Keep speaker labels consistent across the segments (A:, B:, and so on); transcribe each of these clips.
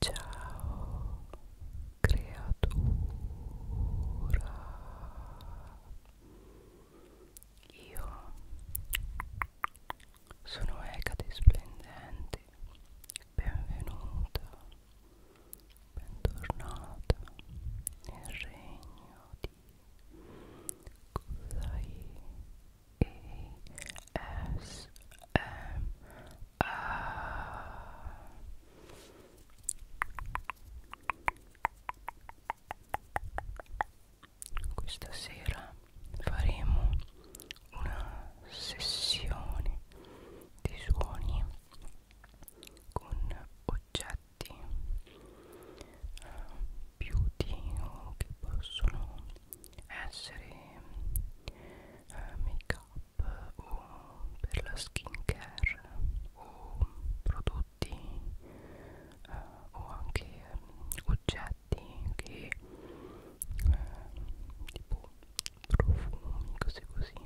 A: Ciao creatura Io sono Ecate Splendente Benvenuta Bentornata nel regno di Kusai S M Questa sera faremo una sessione di suoni con oggetti beauty eh, o che possono essere eh, make up o per la skin care o prodotti eh, o anche eh, oggetti che eh, tipo profumi cose così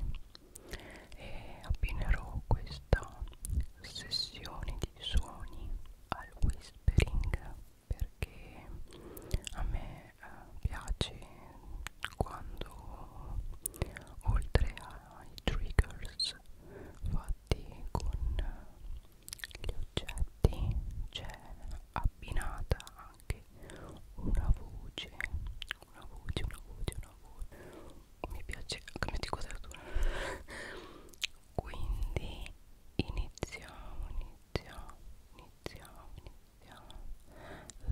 A: e abbinerò questa sessione di suoni al whispering perché a me eh, piace quando oltre ai triggers fatti con gli oggetti c'è abbinata anche una voce una voce una voce una voce mi piace cambiare di quadratura quindi iniziamo iniziamo iniziamo iniziamo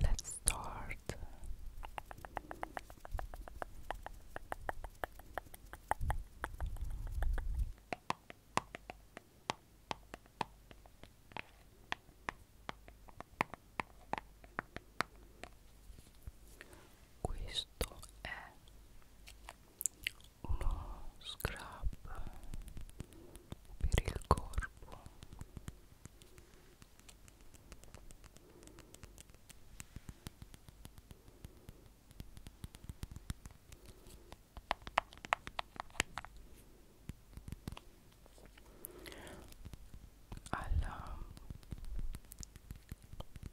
A: Let's start. Questo è uno scrub per il corpo alla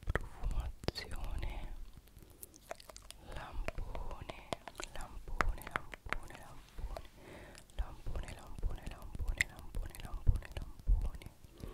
A: profumazione lampone lampone lampone lampone lampone lampone lampone lampone lampone lampone lampone lampone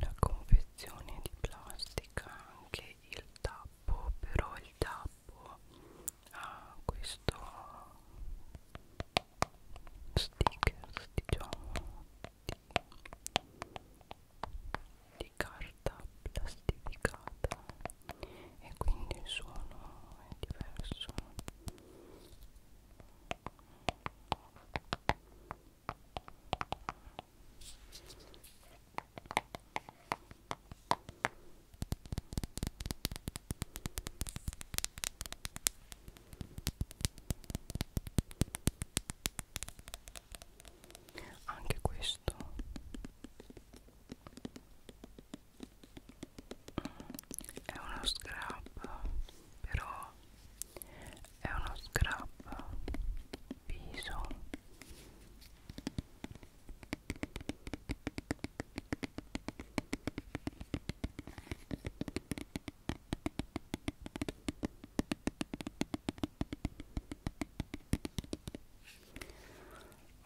A: la confezione di plastica anche il tappo però il tappo boh, a questo sticker diciamo di, di carta plastificata e quindi il suono è diverso anche questo è uno scrub, però è uno scrub viso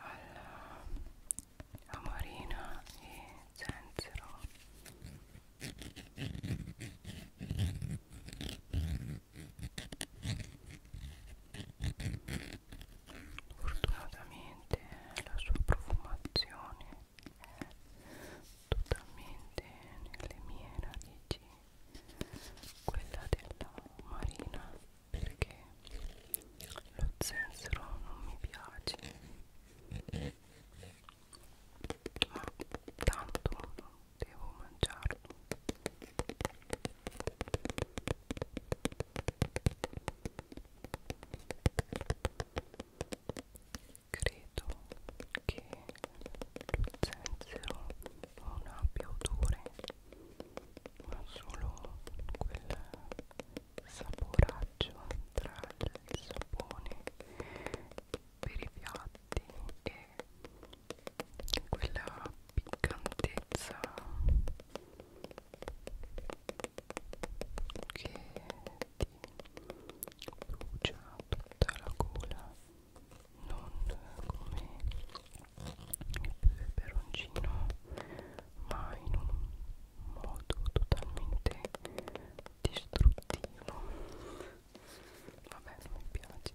A: alla amarina e zenzero fortunatamente la sua profumazione è totalmente nelle mie radici quella della marina perché lo zenzero non mi piace ma tanto non devo mangiarlo Credo che lo zenzero non abbia odore, ma solo quel saporaggio tra il sapone per i piatti e quella piccantezza che ti brucia tutta la gola non come il peperoncino ma in un modo totalmente distruttivo vabbè non mi piace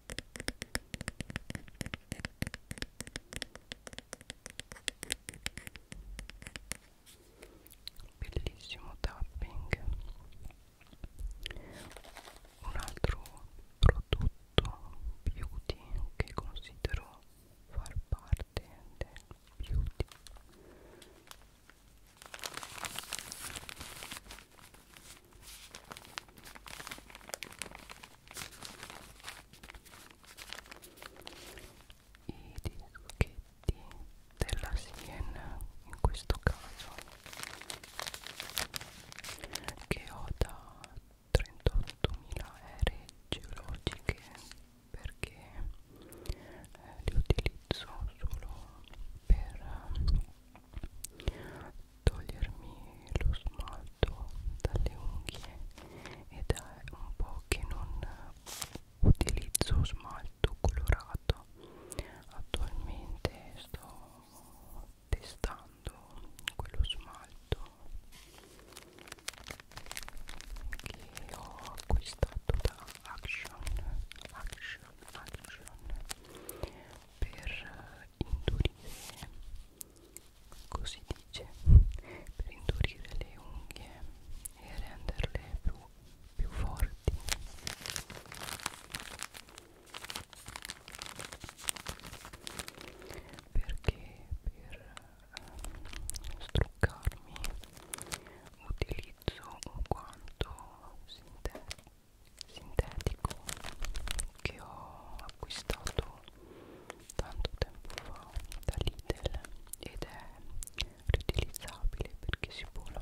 A: bellissimo tapping un altro prodotto beauty che considero far parte del beauty i dischetti della Siena in questo caso che ho da 38.000 ere geologiche perché eh, li utilizzo solo per eh, togliermi lo smalto dalle unghie ed è un po' che non utilizzo smalto colorato attualmente sto testando quello smalto che ho acquistato da Action Action Action per indurire così dice per indurire le unghie e renderle più, più forti perché per um, struccarmi utilizzo un guanto sintetico che ho acquistato comprato tanto tempo fa da Lidl ed è riutilizzabile perché si può lavare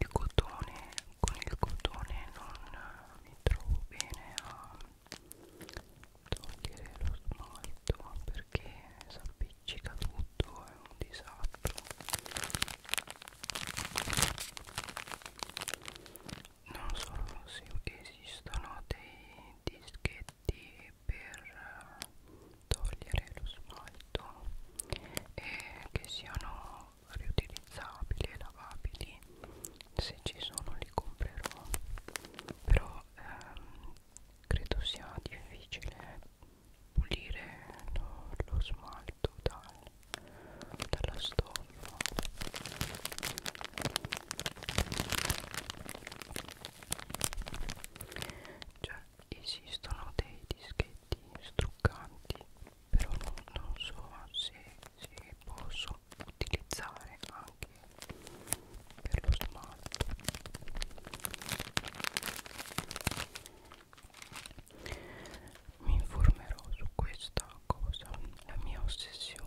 A: il cotone con il cotone non mi trovo bene a togliere lo smalto perché si appiccica tutto è un disastro non so se esistono dei dischetti per togliere lo smalto e che siano riutilizzabili e lavabili se ci sono li comprerò però ehm, credo sia difficile pulire lo, lo smalto dal, dalla stoffa cioè esistono dei dischetti struccanti però non, non so se, se posso utilizzare anche per lo smalto mi informerò su questa cosa la mia ossessione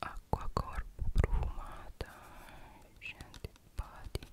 A: acqua corpo profumata scendipati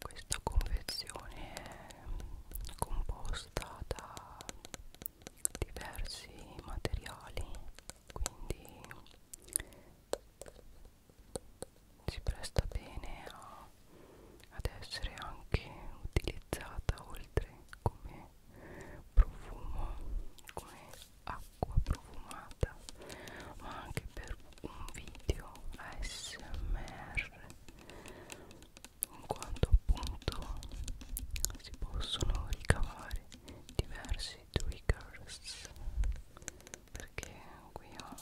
A: questa confezione è composta da diversi materiali quindi si presta bene a, ad essere anche utilizzata oltre come profumo come acqua profumata ma anche per un video ASMR in quanto appunto si possono ricavare diversi triggers perché qui ho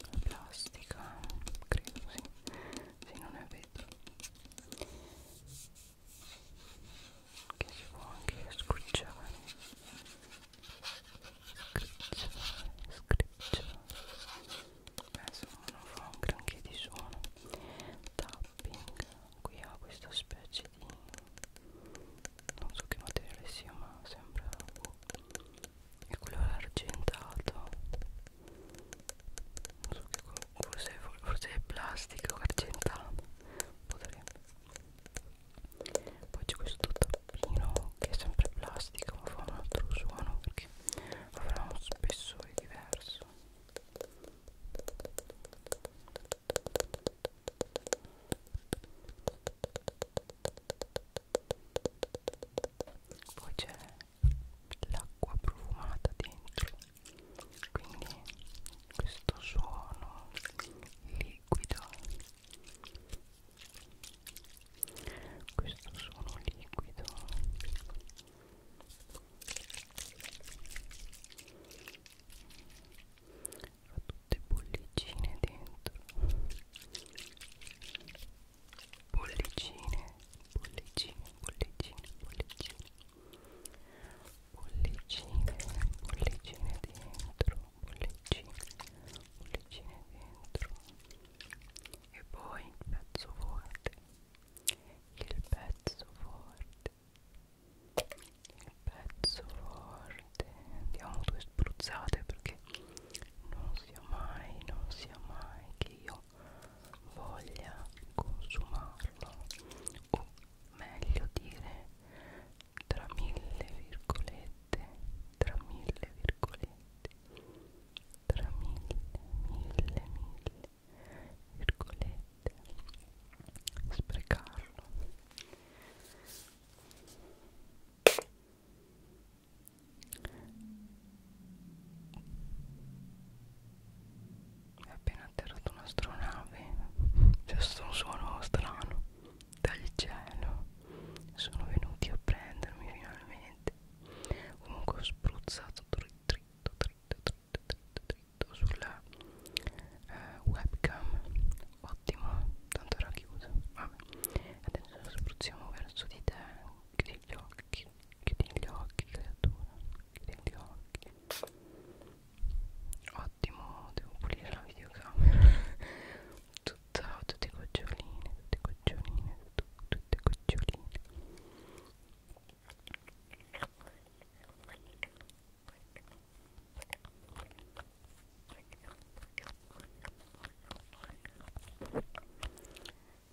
A: la plastica credo sì, sì non è vetro che si può anche scucciare scriccia penso non fa un granché di suono tapping qui ha questa specie di non so che materiale sia ma sembra è boh, quello argentato non so che forse, forse è plastico argentato potrebbe poi c'è questo tappino che è sempre plastica ma fa un altro suono perché avrà uno spessore diverso poi c'è l'acqua profumata dentro quindi questo suono liquido questo sono liquido ha tutte bollicine dentro bollicine bollicine bollicine bollicine bollicine bollicine dentro bollicine bollicine dentro e poi il pezzo forte il pezzo forte il pezzo forte diamo due spruzzate perché non sia mai non sia mai che io voglia consumarlo o meglio dire tra mille virgolette tra mille virgolette tra mille mille mille virgolette sprecarlo è appena atterrato un'astronave c'è stato un suono strano dal cielo sono venuti a prendermi finalmente comunque ho spruzzato dritto dritto dritto dritto dritto sulla eh, webcam ottimo tanto era chiusa vabbè adesso spruzziamo verso di te chiudi gli occhi chiudi gli occhi creatura chiudi gli occhi ottimo devo pulire la videocamera tutta, tutte goccioline, tutte goccioline, tu, tutte goccioline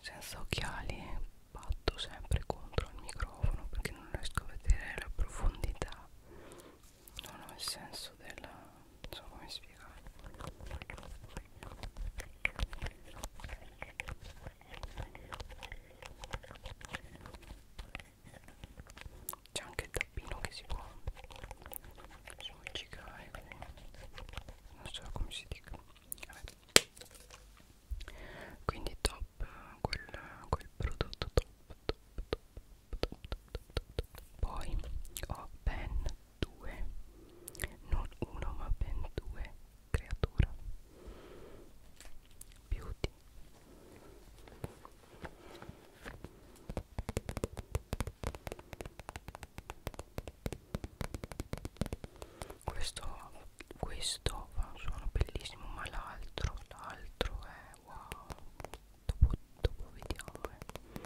A: senza occhiali eh, batto sempre contro il microfono perché non riesco a vedere la profondità non ho il senso della non so come spiegare c'è anche il tappino che si può smoggicare non so come si dica Vabbè. quindi top quel, quel prodotto top top top poi ho ben due non uno ma ben due creatura beauty questo questo fa un suono bellissimo ma l'altro l'altro è wow dopo, dopo vediamo eh.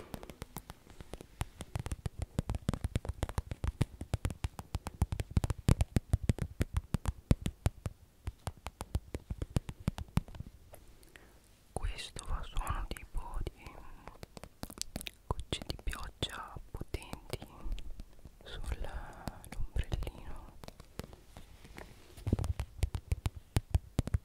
A: questo fa suono tipo di gocce di pioggia potenti sull'ombrellino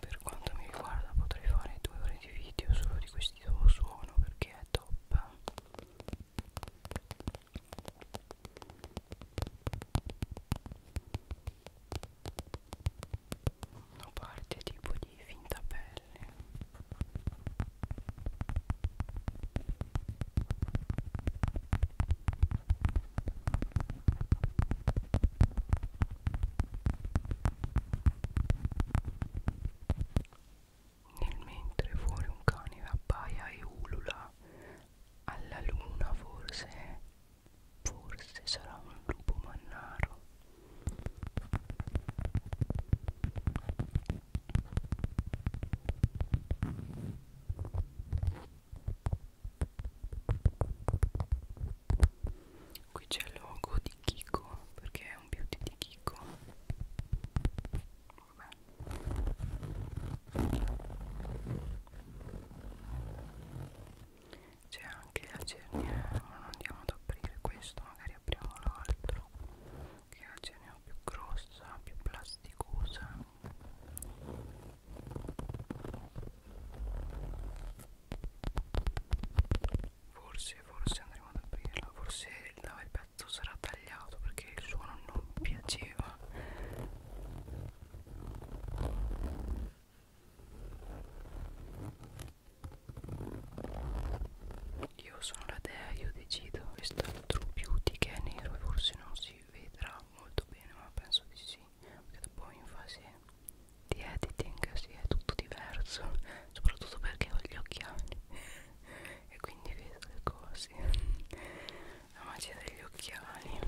A: Per quanto mi riguarda potrei fare due ore di video solo di questo questo suono perché è top una parte tipo di finta pelle nel mentre fuori un cane appaia e ulula alla luna forse, forse sarà un lupo mannaro. Qui c'è il logo di Kiko perché è un beauty di Kiko c'è anche la cerniera eh, ma non andiamo ad aprire questo magari apriamo l'altro che è la cerniera più grossa più plasticosa Forse, forse andremo ad aprirla. Forse no, il pezzo sarà tagliato perché il suono non mi piaceva. Io sono la dea, io decido. Questo è il True Beauty che è nero e forse non si vedrà molto bene, ma penso di sì. Perché dopo in fase di editing si sì, è tutto diverso, soprattutto perché ho gli occhiali e quindi vedo le cose la magia degli occhiali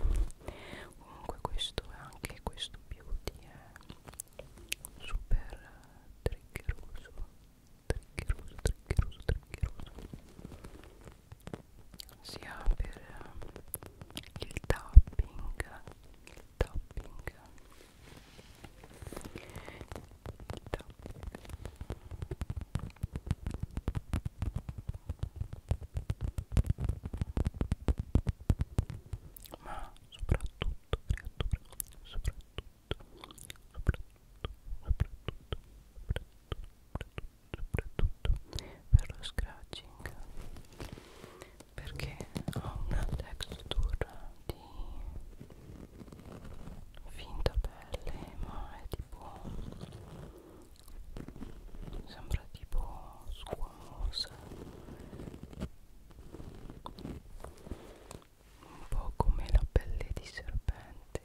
A: comunque questo è anche questo beauty è super triggeroso triggeroso triggeroso triggeroso sia per ehm, il tapping il tapping ma soprattutto creatura soprattutto soprattutto soprattutto soprattutto per lo scratching perché ha una texture di finta pelle ma è tipo sembra tipo squamosa un po' come la pelle di serpente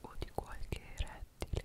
A: o di qualche rettile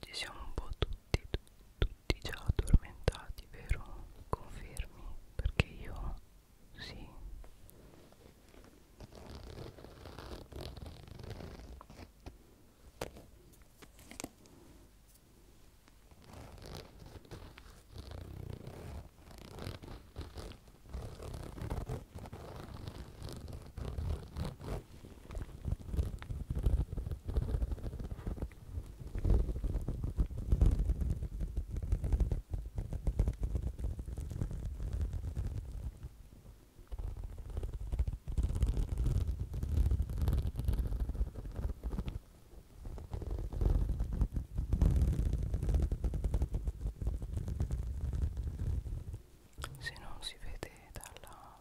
A: Ci siamo un po' tutti, tutti già addormentati stati, vero? Confermi, perché io sì. Se non si vede dalla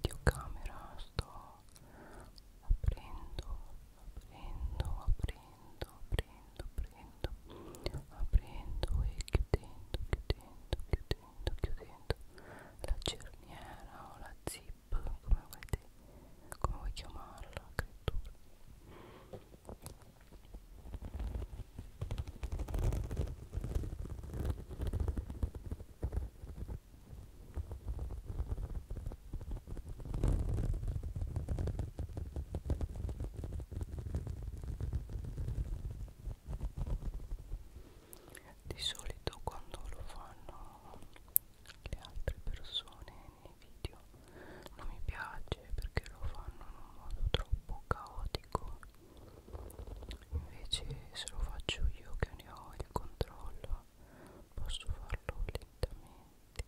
A: videocamera sto aprendo, aprendo, aprendo, aprendo, aprendo, aprendo e chiudendo, chiudendo, chiudendo, chiudendo la cerniera o la zip, come vuoi, te, come vuoi chiamarla, credo. Ecco di solito quando lo fanno le altre persone nei video non mi piace perché lo fanno in un modo troppo caotico. Invece se lo faccio io che ne ho il controllo posso farlo lentamente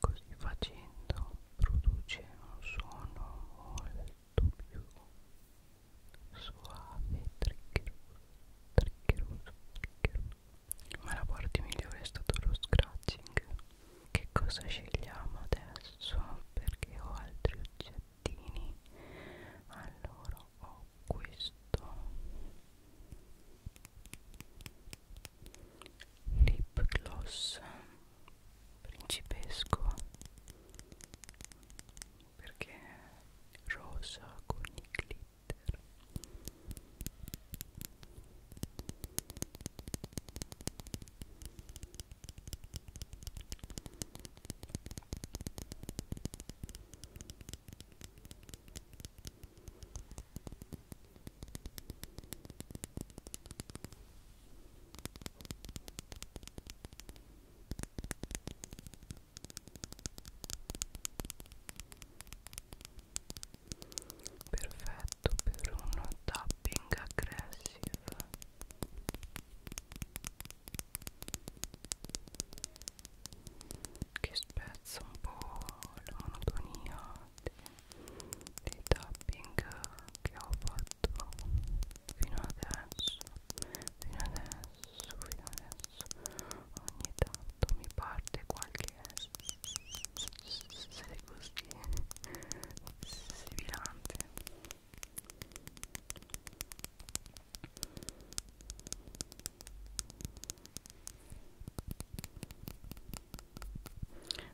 A: Così facendo produce un suono molto più suave e triggeroso, triggeroso, triggeroso. Ma la parte migliore è stato lo scratching. Che cosa scegliamo adesso? Perché ho altri oggettini. Allora ho questo lip gloss principesco perché è rosa con i glitter perfetto per uno tapping aggressive che spezza un po' la monotonia dei tapping che ho fatto fino adesso fino adesso fino adesso ogni tanto mi parte qualche se così sibilante e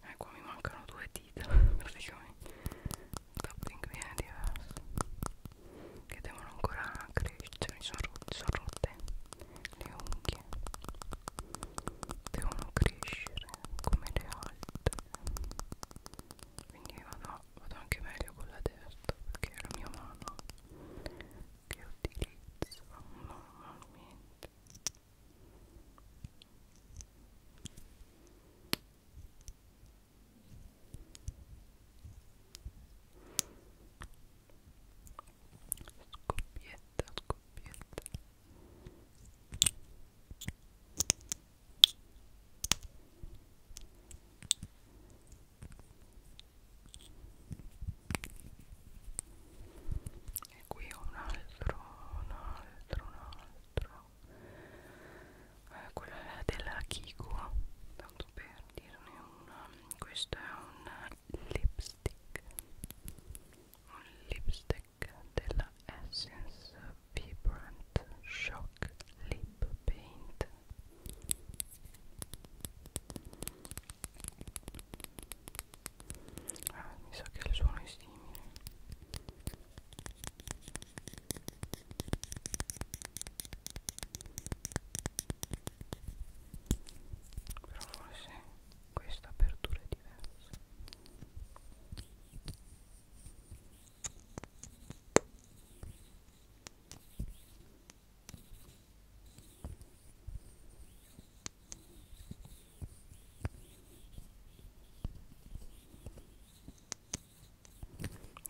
A: ecco mi mancano due dita praticamente tapping viene diverso che devono ancora crescere sono, sono rotte le unghie devono crescere come le altre quindi vado, vado anche meglio con la destra perché è la mia mano che utilizzo normalmente Scoppietta, scoppietta. E qui un altro, un altro, un altro eh, quella della Kiko tanto per dirne una questo è un lipstick un lipstick della Essence Vibrant Shock Lip Paint ah, mi sa che il suono è simile però forse questa apertura è diversa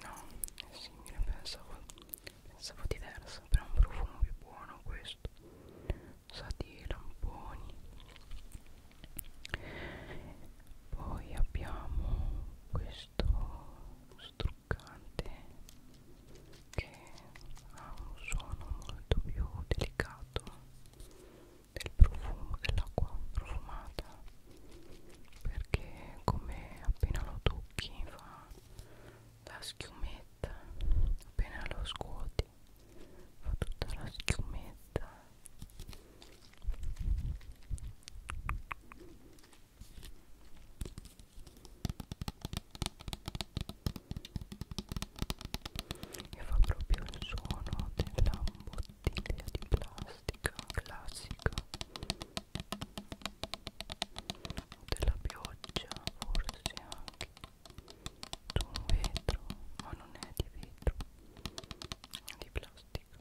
A: No, è simile, pensavo, pensavo diverso, però è un profumo più buono questo. Sa di lamponi. Poi abbiamo questo struccante che ha un suono molto più delicato del profumo dell'acqua profumata perché come appena lo tocchi fa la schiumetta appena lo scuoti fa tutta la schiumetta e fa proprio il suono della bottiglia di plastica classica della pioggia forse anche su un vetro ma non è di vetro è di plastica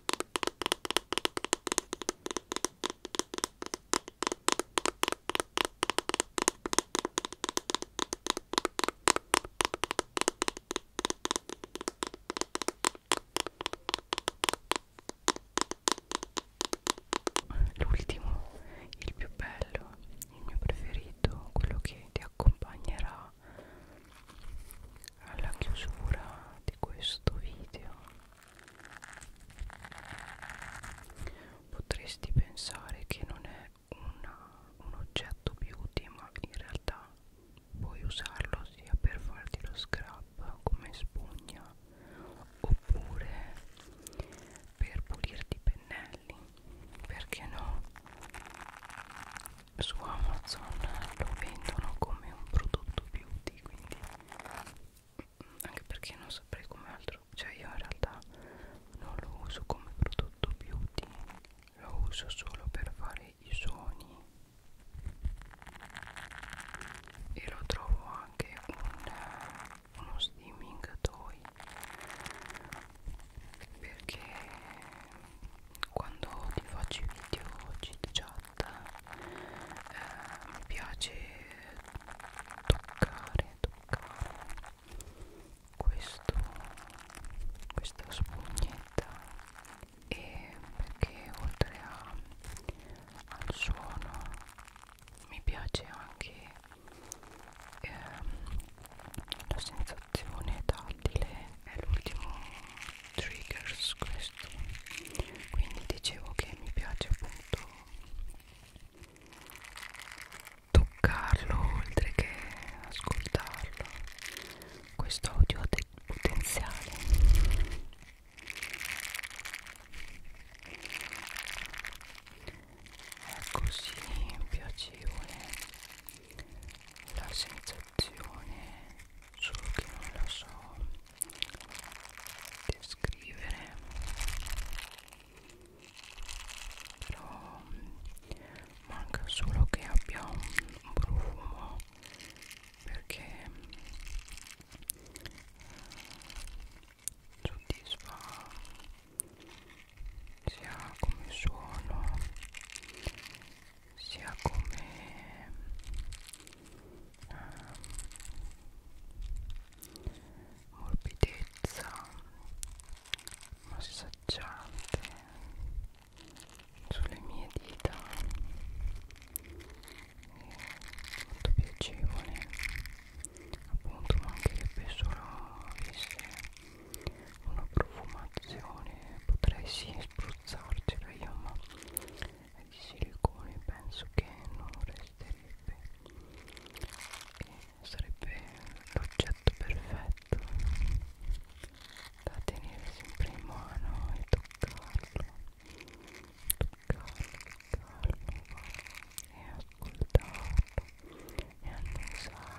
A: L'ultimo, il più bello, il mio preferito, quello che ti accompagnerà alla chiusura di questo video Potresti pensare che non è una, un oggetto beauty, ma in realtà puoi usarlo sia per farti lo scrub come spugna oppure per pulirti i pennelli. Perché no? Su Amazon lo vendono come un prodotto beauty lì quindi mm, anche perché non saprei come altro cioè io in realtà non lo uso come prodotto beauty lo uso solo per fare i suoni e lo trovo anche un, uno steaming toy perché quando ti faccio i video chit chat fatta eh, mi piace toccare toccare questo questa spugnetta e perché oltre a, al suono mi piace anche ehm, la sensazione tattile è l'ultimo triggers questo quindi dicevo che mi piace appunto toccarlo oltre che ascoltarlo questo audio ha del potenziale è così piacevole la sensazione solo che non la so descrivere però manca solo che abbia un, un profumo perché eh, soddisfa sia come suono sia come ehm, morbidezza massaggiante sulle mie dita e molto piacevole appunto mancherebbe solo avesse una profumazione potrei sì spruzzarcela io ma è di silicone penso che non resterebbe e sarebbe l'oggetto perfetto da tenere sempre in mano e toccarlo toccarlo, toccarlo e ascoltarlo e annusarlo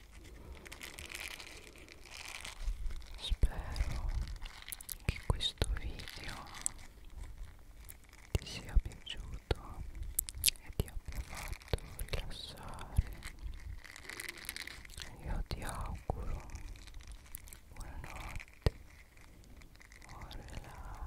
A: spero che questo video ti sia piaciuto e ti abbia fatto rilassare io ti auguro buonanotte buon relax